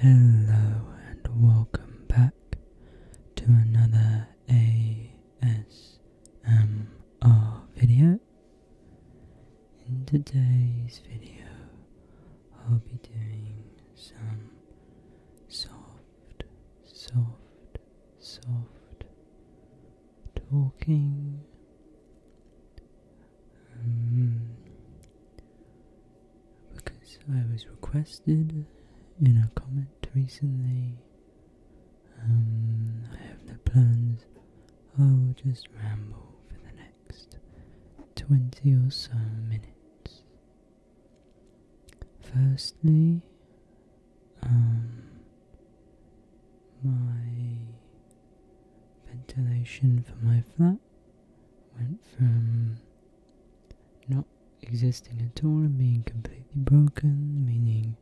Hello and welcome back to another ASMR video. In today's video, I'll be doing some soft, soft, soft talking Mm-hmm. because I was requested in a comment recently. Um, I have no plans. I will just ramble for the next 20 or so minutes. Firstly, um, my ventilation for my flat went from not existing at all and being completely broken, meaning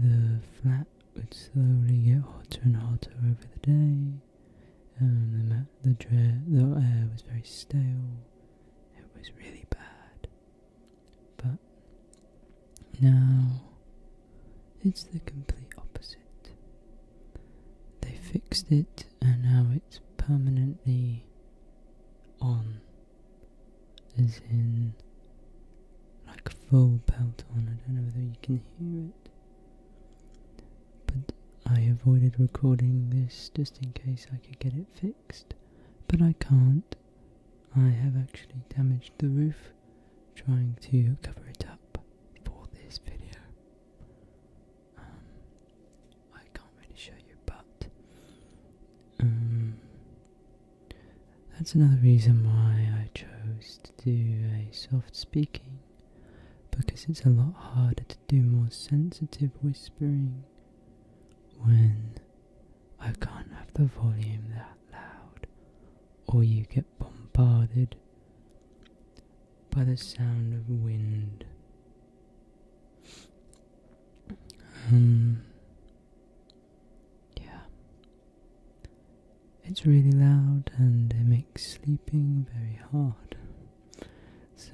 the flat would slowly get hotter and hotter over the day. Um, the, the air was very stale. It was really bad. But now it's the complete opposite. They fixed it and now it's permanently on. As in, like a full belt on. I don't know whether you can hear it. But I avoided recording this just in case I could get it fixed. But I can't. I have actually damaged the roof trying to cover it up for this video. Um, I can't really show you, but um, that's another reason why I chose to do a soft speaking because it's a lot harder to do more sensitive whispering when I can't have the volume that loud or you get bombarded by the sound of wind. Um, yeah. It's really loud and it makes sleeping very hard. So,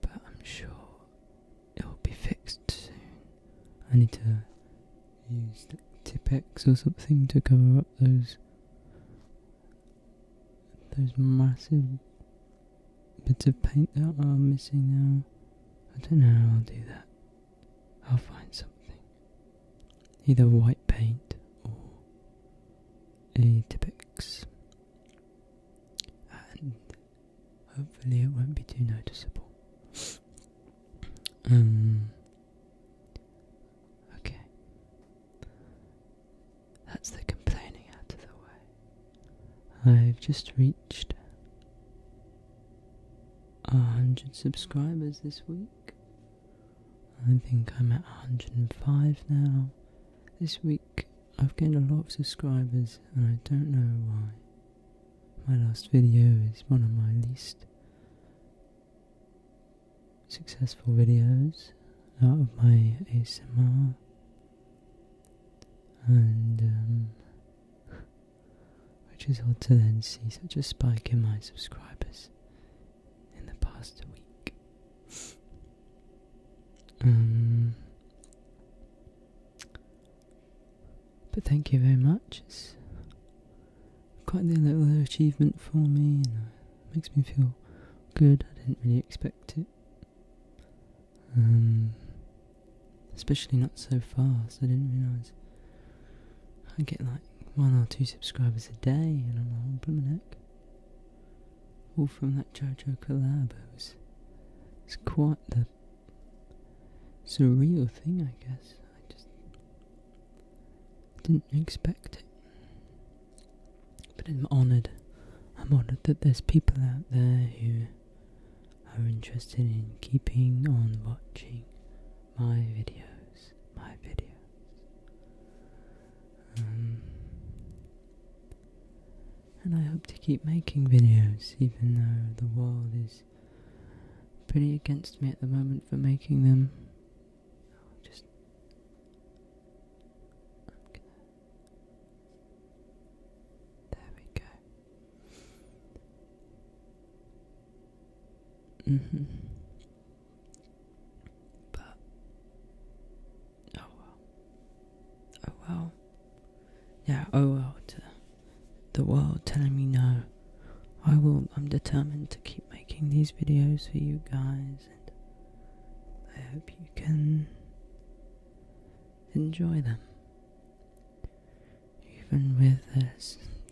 but I'm sure it will be fixed soon. I need to use like Tipex or something to cover up those those massive bits of paint that are missing now. I don't know how I'll do that. I'll find something. Either white paint or a Tippex. And hopefully it won't be too noticeable. um Okay. That's the complaining out of the way. I've just reached a hundred subscribers this week. I think I'm at 105 now. This week I've gained a lot of subscribers and I don't know why. My last video is one of my least successful videos out of my ASMR and which is odd to then see such a spike in my subscribers in the past week. Um, but thank you very much quite the little achievement for me, it makes me feel good. I didn't really expect it. Um, especially not so fast. I didn't realise I get like one or two subscribers a day, and I'm like, oh, blooming heck. All from that JoJo collab. It was, it's quite the surreal thing, I guess. I just didn't expect it. But I'm honoured. I'm honoured that there's people out there who are interested in keeping on watching my videos. My videos. Um, and I hope to keep making videos, even though the world is pretty against me at the moment for making them just. There we go. Mm-hmm. But oh well, oh well, yeah, oh well. To the world telling me no, I will. I'm determined to keep making these videos for you guys. I hope you can enjoy them, even with their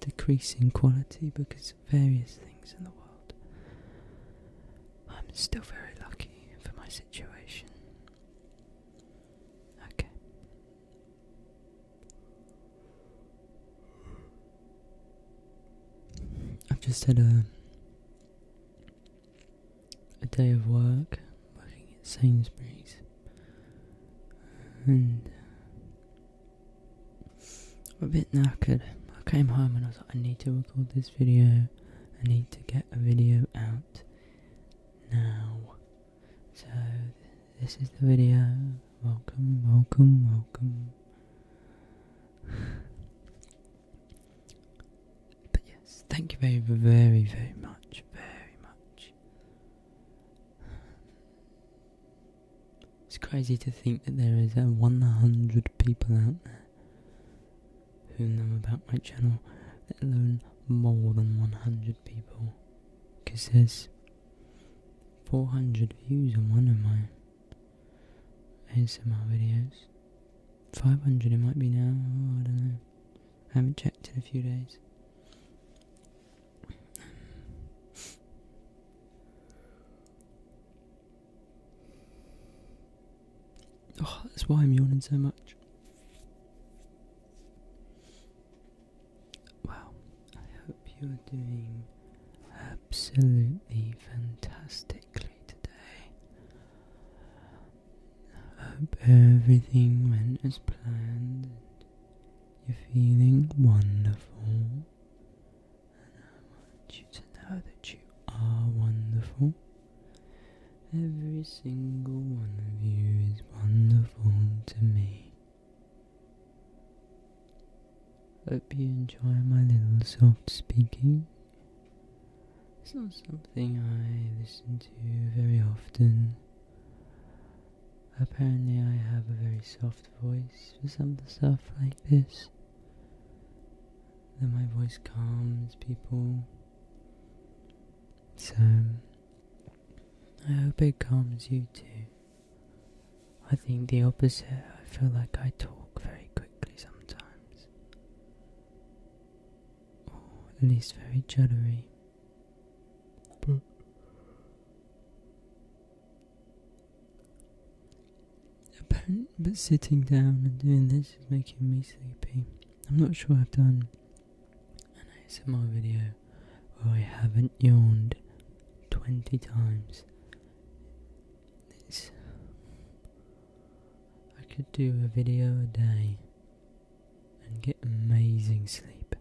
decreasing quality because of various things in the world. I'm still very lucky for my situation. Okay. I've just had a a day of work, working at Sainsbury's, and a bit knackered. I came home and I was like, I need to record this video. I need to get a video out now. So this is the video. Welcome, welcome, welcome but yes, thank you very, very, very much, very much. It's crazy to think that there is uh, 100 people out there who know about my channel, let alone more than 100 people. Because there's 400 views on one of mine. ASMR videos. 500 it might be now, oh, I don't know. I haven't checked in a few days. Oh, that's why I'm yawning so much. Wow, hope you're doing absolutely fantastically today. I hope everything went as planned. You're feeling wonderful, and I want you to know that you are wonderful. Every single one of you is wonderful to me. Hope you enjoy my little soft speaking. It's not something I listen to very often. Apparently, I have a very soft voice for some soft like this. Then my voice calms people. So, I hope it calms you too. I think the opposite. I feel like I talk very quickly sometimes, or at least very juddery. But but sitting down and doing this is making me sleepy. I'm not sure I've done an ASMR video where I haven't yawned twenty times it's, I could do a video a day and get amazing sleep,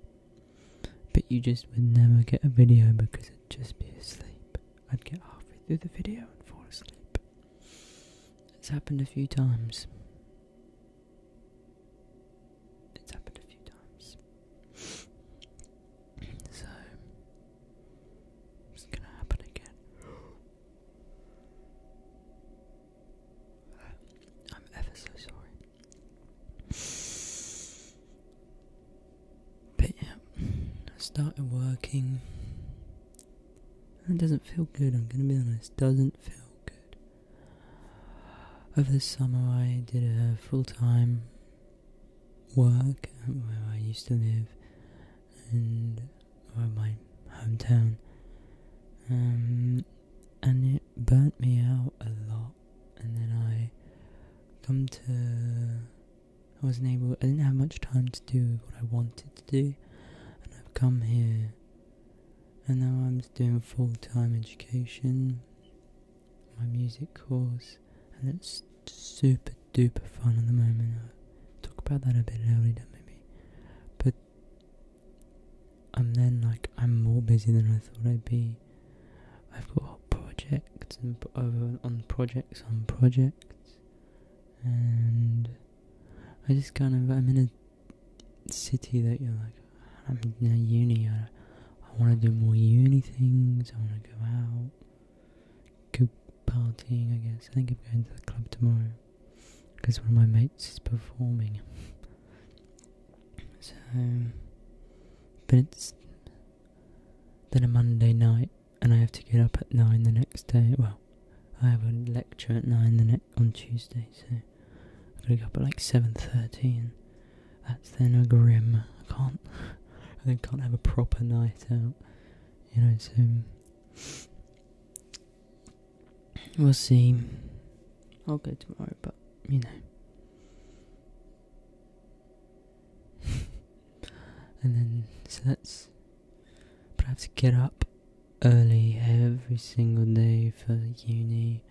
but you just would never get a video because it'd just be asleep. I'd get halfway through the video and fall asleep. It's happened a few times. It's happened a few times. So it's gonna happen again. I'm ever so sorry. But yeah, started working. It doesn't feel good, I'm gonna be honest. Doesn't feel good. Over the summer, I did a full time work um, where I used to live and or my hometown. Um, and it burnt me out a lot. And then I come to. I wasn't able. I didn't have much time to do what I wanted to do, and I've come here. And now I'm doing full time education, my music course, and it's super duper fun at the moment. I'll uh, talk about that a bit later, maybe. But I'm then like, I'm more busy than I thought I'd be. I've got projects and uh, on projects on projects, and I just kind of I'm in a city that you're like I'm in uni. I, I want to do more uni things. I want to go out go partying, I guess. I think I'm going to the club tomorrow because one of my mates is performing. so, but it's then a Monday night, and I have to get up at nine the next day. Well, I have a lecture at nine the ne- on Tuesday, so I gotta get up at like seven thirteen. that's then a grim. I can't. I can't have a proper night out you know, so we'll see. I'll go tomorrow, but you know. and then so that's but I have to get up early every single day for uni.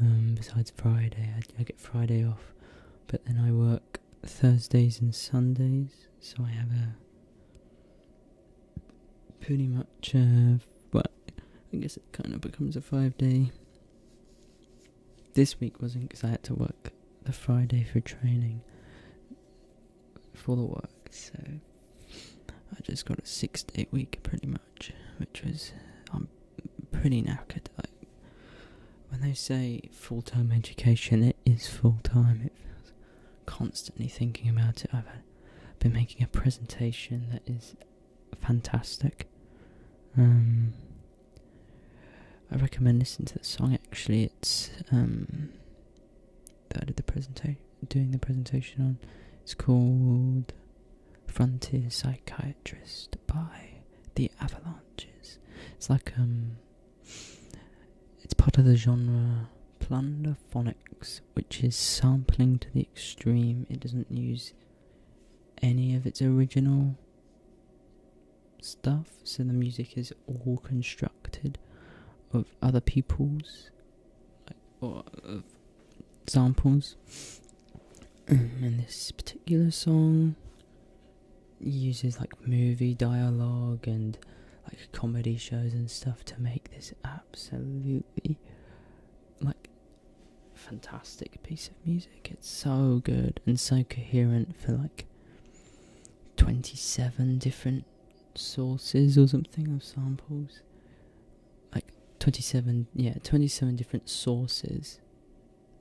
Um, besides Friday, I get Friday off, but then I work Thursdays and Sundays, so I have a pretty much uh well I guess it kind of becomes a five day. This week wasn't because I had to work the Friday for training for the work, so I just got a six day week pretty much, which was I'm um, pretty knackered. I when they say full time education, it is full time. It feels constantly thinking about it. I've been making a presentation that is fantastic. Um, I recommend listening to the song. Actually, it's um, I did the presentation, doing the presentation on. It's called Frontier Psychiatrist by the Avalanches. It's like um it's part of the genre plunderphonics, which is sampling to the extreme. It doesn't use any of its original stuff, so the music is all constructed of other people's or of samples. and this particular song uses like movie dialogue and like comedy shows and stuff to make this absolutely like fantastic piece of music. It's so good and so coherent for like 27 different sources or something of samples. Like 27, yeah, 27 different sources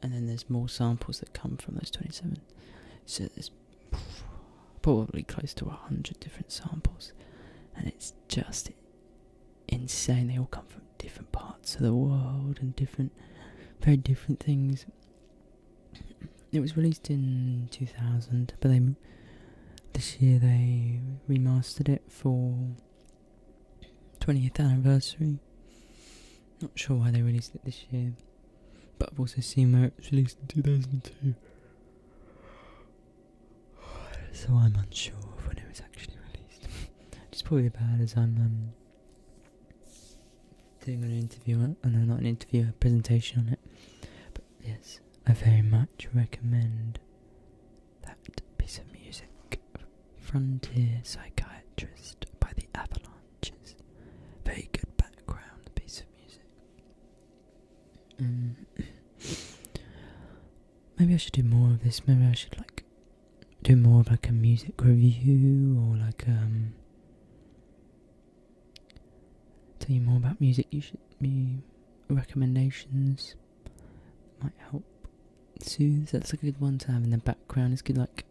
and then there's more samples that come from those 27 so there's probably close to 100 different samples and it's just insane they all come from different parts of the world and different very different things it was released in 2000 but they this year they remastered it for 20th anniversary not sure why they released it this year, but I've also seen where it was released in 2002. So I'm unsure of when it was actually released. Just probably bad as I'm um, doing an interview, and uh, not an interview, a presentation on it. But yes, I very much recommend that piece of music, Frontier Psychiatrist by the Avalon matches. Very good background piece of music. Mm. maybe I should do more of this. Maybe I should like do more of like a music review or like um tell you more about music. You should be recommendations might help soothe. That's a good one to have in the background. Is good luck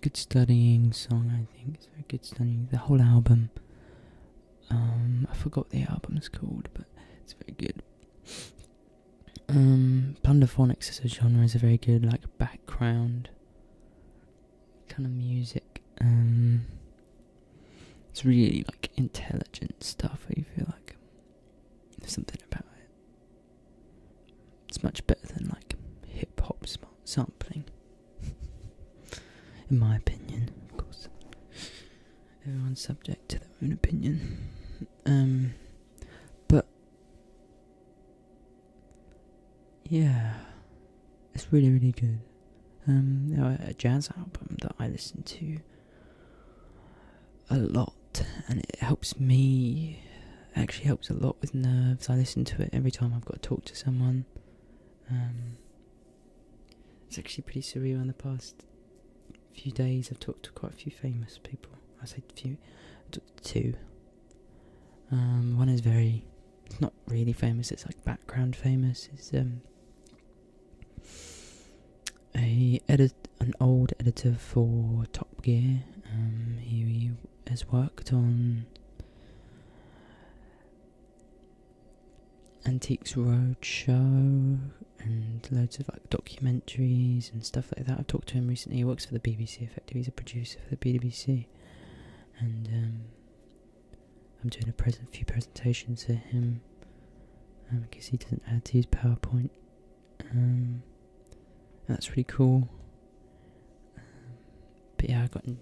good studying song, I think. It's very good studying the whole album. Um, I forgot the album's called, but it's very good. Um, Plunderphonics as a genre is a very good like background kind of music. Um, it's really like intelligent stuff. Where you feel like there's something about it. It's much better than like hip hop sampling, in my opinion. Of course, everyone's subject to their own opinion. Um, but yeah, it's really really good. Um, a jazz album that I listen to a lot and it helps me actually helps a lot with nerves i listen to it every time i've got to talk to someone um, it's actually pretty surreal in the past few days i've talked to quite a few famous people i say few two um, one is very it's not really famous it's like background famous it's um a edit an old editor for Top Gear. Um, he has worked on Antiques Roadshow and loads of like documentaries and stuff like that. I've talked to him recently. He works for the BBC. Effectively, he's a producer for the BBC, and um, I'm doing a present few presentations for him because um, he doesn't add to his PowerPoint um, that's really cool. Um, but yeah, I got one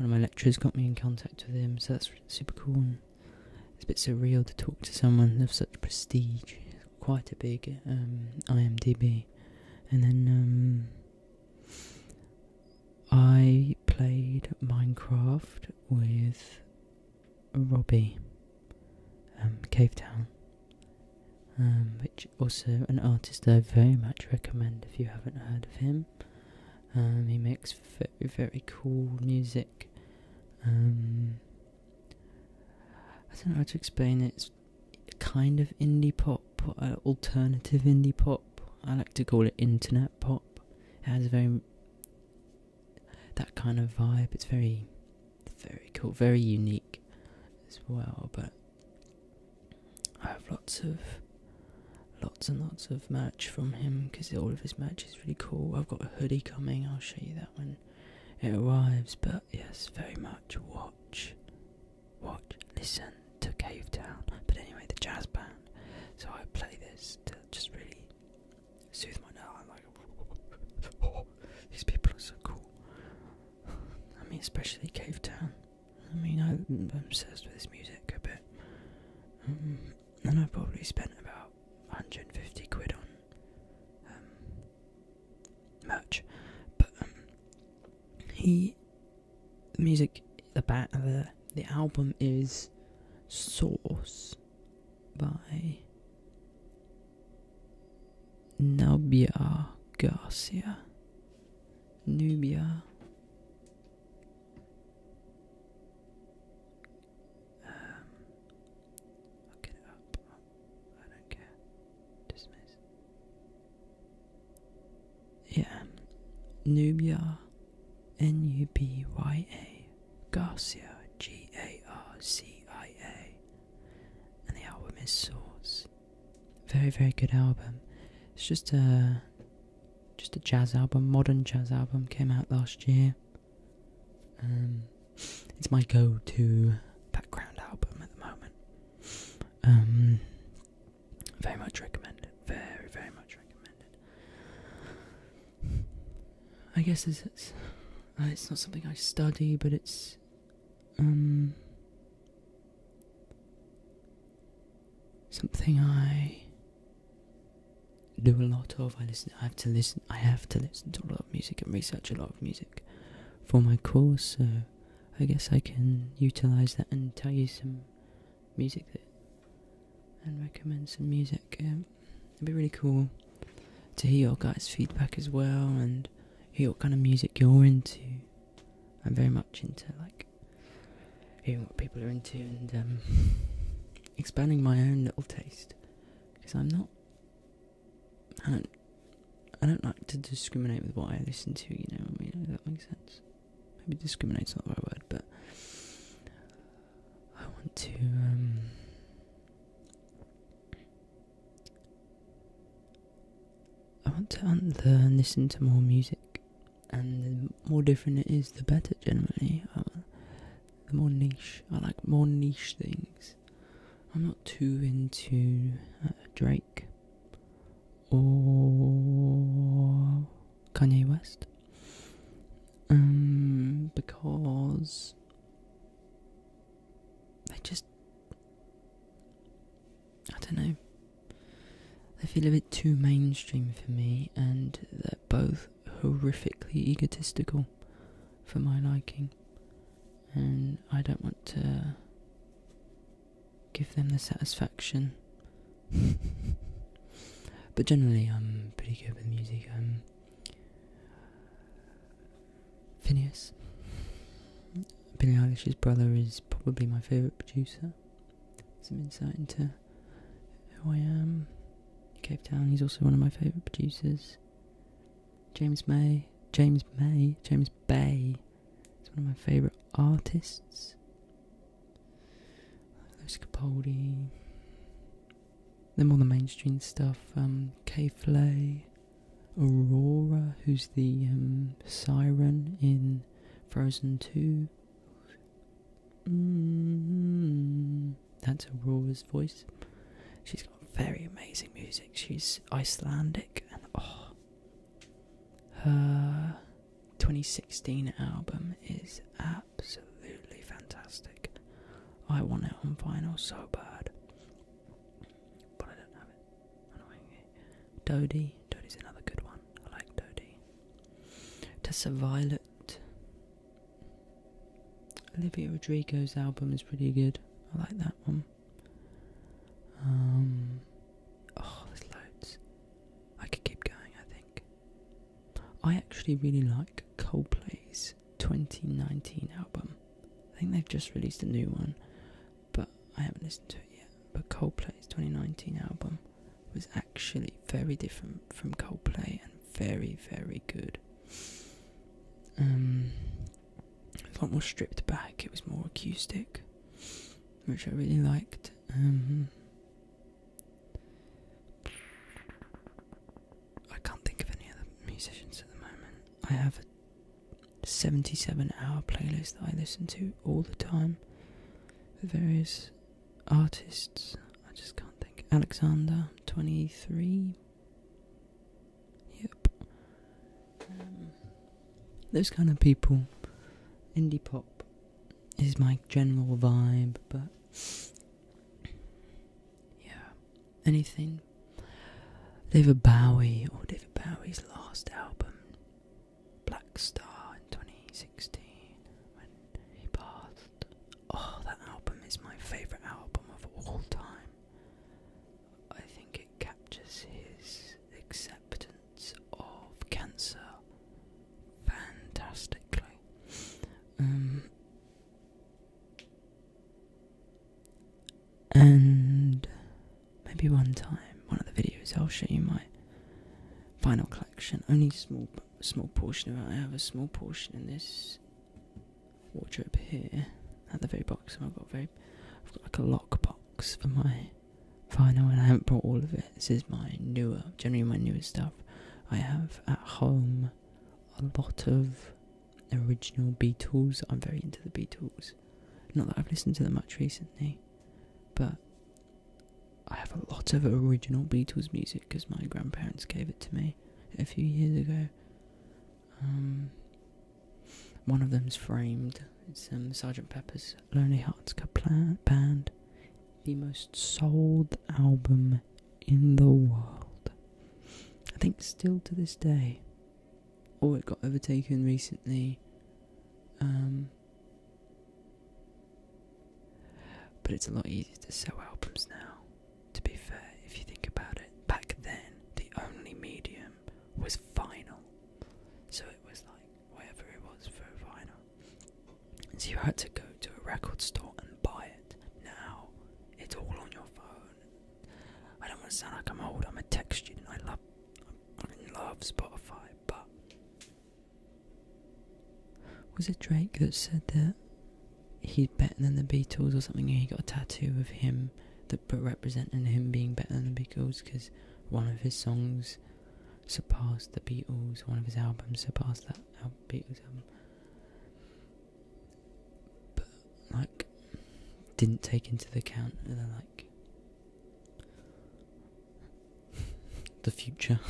of my lecturers got me in contact with him, so that's super cool. it's a bit surreal to talk to someone of such prestige. quite a big um, IMDb, and then um, I played Minecraft with Robbie um, Cave Town, um, which also an artist I very much recommend if you haven't heard of him. Um, he makes very very cool music. I don't know how to explain it. It's kind of indie pop, uh, alternative indie pop. I like to call it internet pop. It has a very that kind of vibe. It's very, very cool, very unique as well. But I have lots of, lots and lots of merch from him because all of his merch is really cool. I've got a hoodie coming. I'll show you that when it arrives. But yes, very much watch, watch, listen to Cave Town. But anyway, the jazz band. So I play this to just really soothe my nerve. these people are so cool. I mean, especially Cave Town. I mean, I'm obsessed with this music a bit. Um, and I probably spent about 150 quid on um, merch. But um, he, the music, the bat, the the album is Source by Nubia Garcia. Nubia. Um, i I don't care. Dismiss. Yeah. Nubia. N U B Y A. Garcia. G A R C I A and the album is Source. Very, very good album. It's just a just a jazz album, modern jazz album. Came out last year. Um, it's my go-to background album at the moment. Um, very much recommended. Very, very much recommended. I guess it's uh, it's, not something I study, but it's um, something I do a lot of. I listen. I have to listen. I have to listen to a lot of music and research a lot of music for my course. So I guess I can utilize that and tell you some music that and recommend some music. Um, it'd be really cool to hear your guys' feedback as well and hear what kind of music you're into. I'm very much into like hearing what people are into and um, expanding my own little taste because I'm not. I don't. like to discriminate with what I listen to. You know, I mean, that makes sense. Maybe discriminate's not the right word, but I want to. Um, I want to unlearn, listen to more music, and the more different it is, the better. Generally, uh, the more niche. I like more niche things. I'm not too into uh, Drake or Kanye West, um, because I just. I don't know. They feel a bit too mainstream for me, and they're both horrifically egotistical for my liking. And I don't want to give them the satisfaction. but generally, I'm pretty good with music. Phineas. Billy Eilish's brother is probably my favourite producer. Some insight into who I am. Cape Town, he's also one of my favourite producers. James May. James May. James Bay. It's one of my favourite artists. Lewis Capaldi. Then more the mainstream stuff, um, Flay, Aurora, who's the um, siren in Frozen 2. Mm-hmm. that's Aurora's voice. She's got very amazing music. She's Icelandic and oh, her 2016 album is absolutely fantastic. I want it on vinyl so bad. But I don't have it. Annoyingly. Dodie. Dodie's another good one. I like Dodie. Tessa Violet. Olivia Rodrigo's album is pretty good. I like that one. Um, oh, there's loads. I could keep going, I think. I actually really like Coldplay's 2019 album. I think they've just released a new one, but I haven't listened to it yet. But Coldplay's 2019 album was actually very different from Coldplay and very, very good. Um, a lot more stripped back. It was more acoustic, which I really liked. Um, I can't think of any other musicians at the moment. I have a 77 hour playlist that I listen to all the time with various artists. I just can't think. Alexander, 23. Yep. Um, those kind of people. Indie pop is my general vibe, but yeah, anything. David Bowie, or David Bowie's last album, Black Star in 2016, when he passed. Oh, that album is my favourite album of all time. I think it captures his acceptance of cancer fantastically. Um, and maybe one time, one of the videos, I'll show you my final collection. Only small, small portion of it. I have a small portion in this wardrobe here. At the very bottom, I've got very, I've got like a lock box for my final, and I haven't brought all of it. This is my newer, generally my newest stuff. I have at home a lot of original Beatles. I'm very into the Beatles. Not that I've listened to them much recently, but I have a lot of original Beatles music because my grandparents gave it to me a few years ago. Um, one of them's framed. It's um, Sergeant Pepper's Lonely Hearts Club Band, the most sold album in the world. I think still to this day, or oh, it got overtaken recently. Um, but it's a lot easier to sell albums now. To be fair, if you think about it, back then the only medium was vinyl, so it was like whatever it was for vinyl. So you had to go to a record store and buy it. Now it's all on your phone. I don't want to sound like I'm old. I'm a tech student. I love, I love Spotify. But was it Drake that said that he's better than the Beatles or something? And he got a tattoo of him that representing him being better than the Beatles because one of his songs surpassed the Beatles. One of his albums surpassed that Beatles album but like didn't take into account the like the future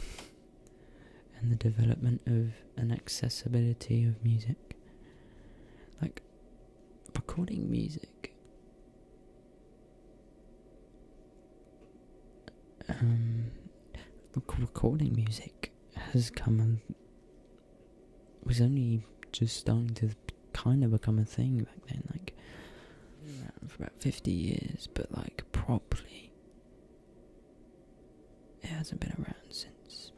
and the development of an accessibility of music like recording music um recording music has come a, was only just starting to kind of become a thing back then, like for about 50 years, but like properly, it hasn't been around since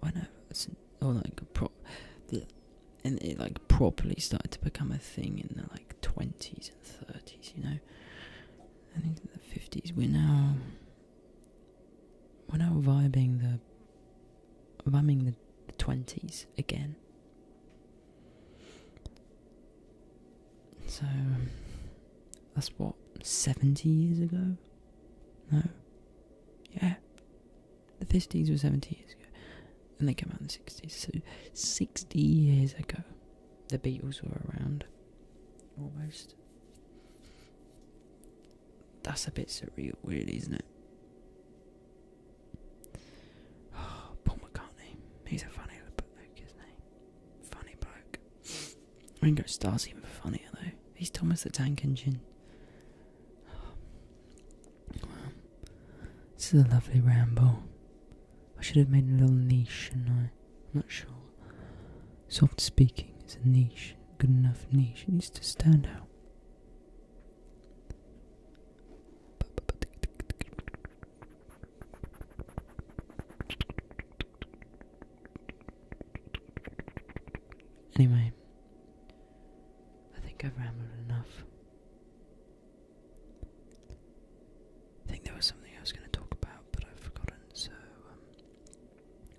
whenever, since, or like prop, and it like properly started to become a thing in the like 20s and 30s, you know. I think the 50s we're now we're now vibing the vibing the, 20s again so that's what 70 years ago no yeah the 50s were 70 years ago and they came out in the 60s so 60 years ago the beatles were around almost that's a bit surreal, really, isn't it? Oh, Paul McCartney. He's a funny bloke, isn't he? Funny bloke. Ringo Starr's even funnier, though. He's Thomas the Tank Engine. this is a lovely ramble. I should have made a little niche, shouldn't I? not sure. Soft speaking is a niche, good enough niche. It needs to stand out. Anyway, I think I've rambled enough. I think there was something I was going to talk about, but I've forgotten, so um,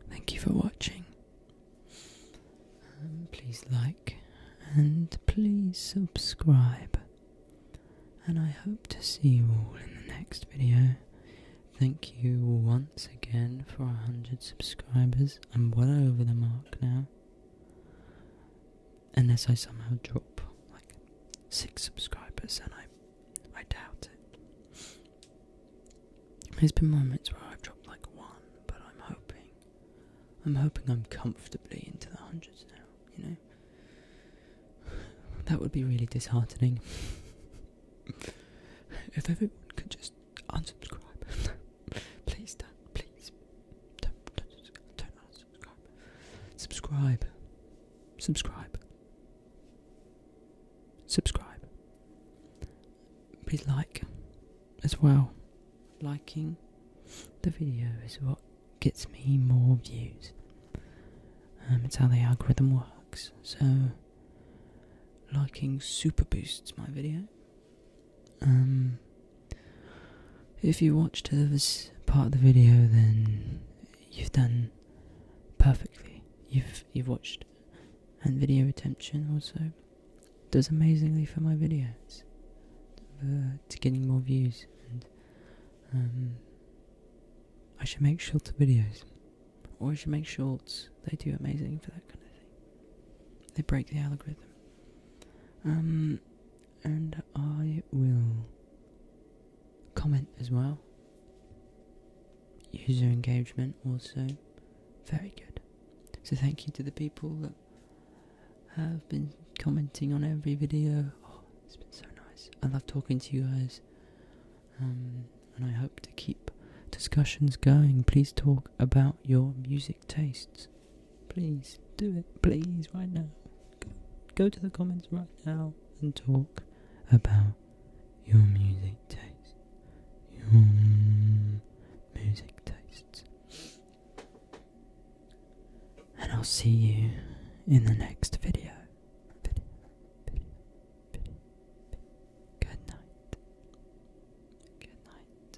Thank you for watching. Um, please like and please subscribe. And I hope to see you all in the next video. Thank you once again for 100 subscribers. I'm well over the mark now. Unless I somehow drop like 6 subscribers and I I doubt it. There's been moments where I've dropped like one, but I'm hoping. I'm hoping I'm comfortably into the hundreds now, you know? That would be really disheartening. if everyone could just unsubscribe. please don't, please. Don't, unsubscribe. Subscribe. Subscribe subscribe. Please like as well. Liking the video is what gets me more views. Um, it's how the algorithm works. So, liking super boosts my video. Um, if you watched this part of the video, then you've done perfectly. You've you've watched, and video retention also does amazingly for my videos. Uh, to getting more views, and um, I should make shorter videos, or I should make shorts. They do amazing for that kind of thing. They break the algorithm. Um, and I will comment as well. User engagement also very good. So thank you to the people that have been commenting on every video. Oh, it's been so nice. I love talking to you guys. Um, and I hope to keep discussions going. Please talk about your music tastes. Please do it. Please, right now. go to the comments right now and talk about your music taste, your music tastes. And I'll see you in the next video. video. Good night. Good night.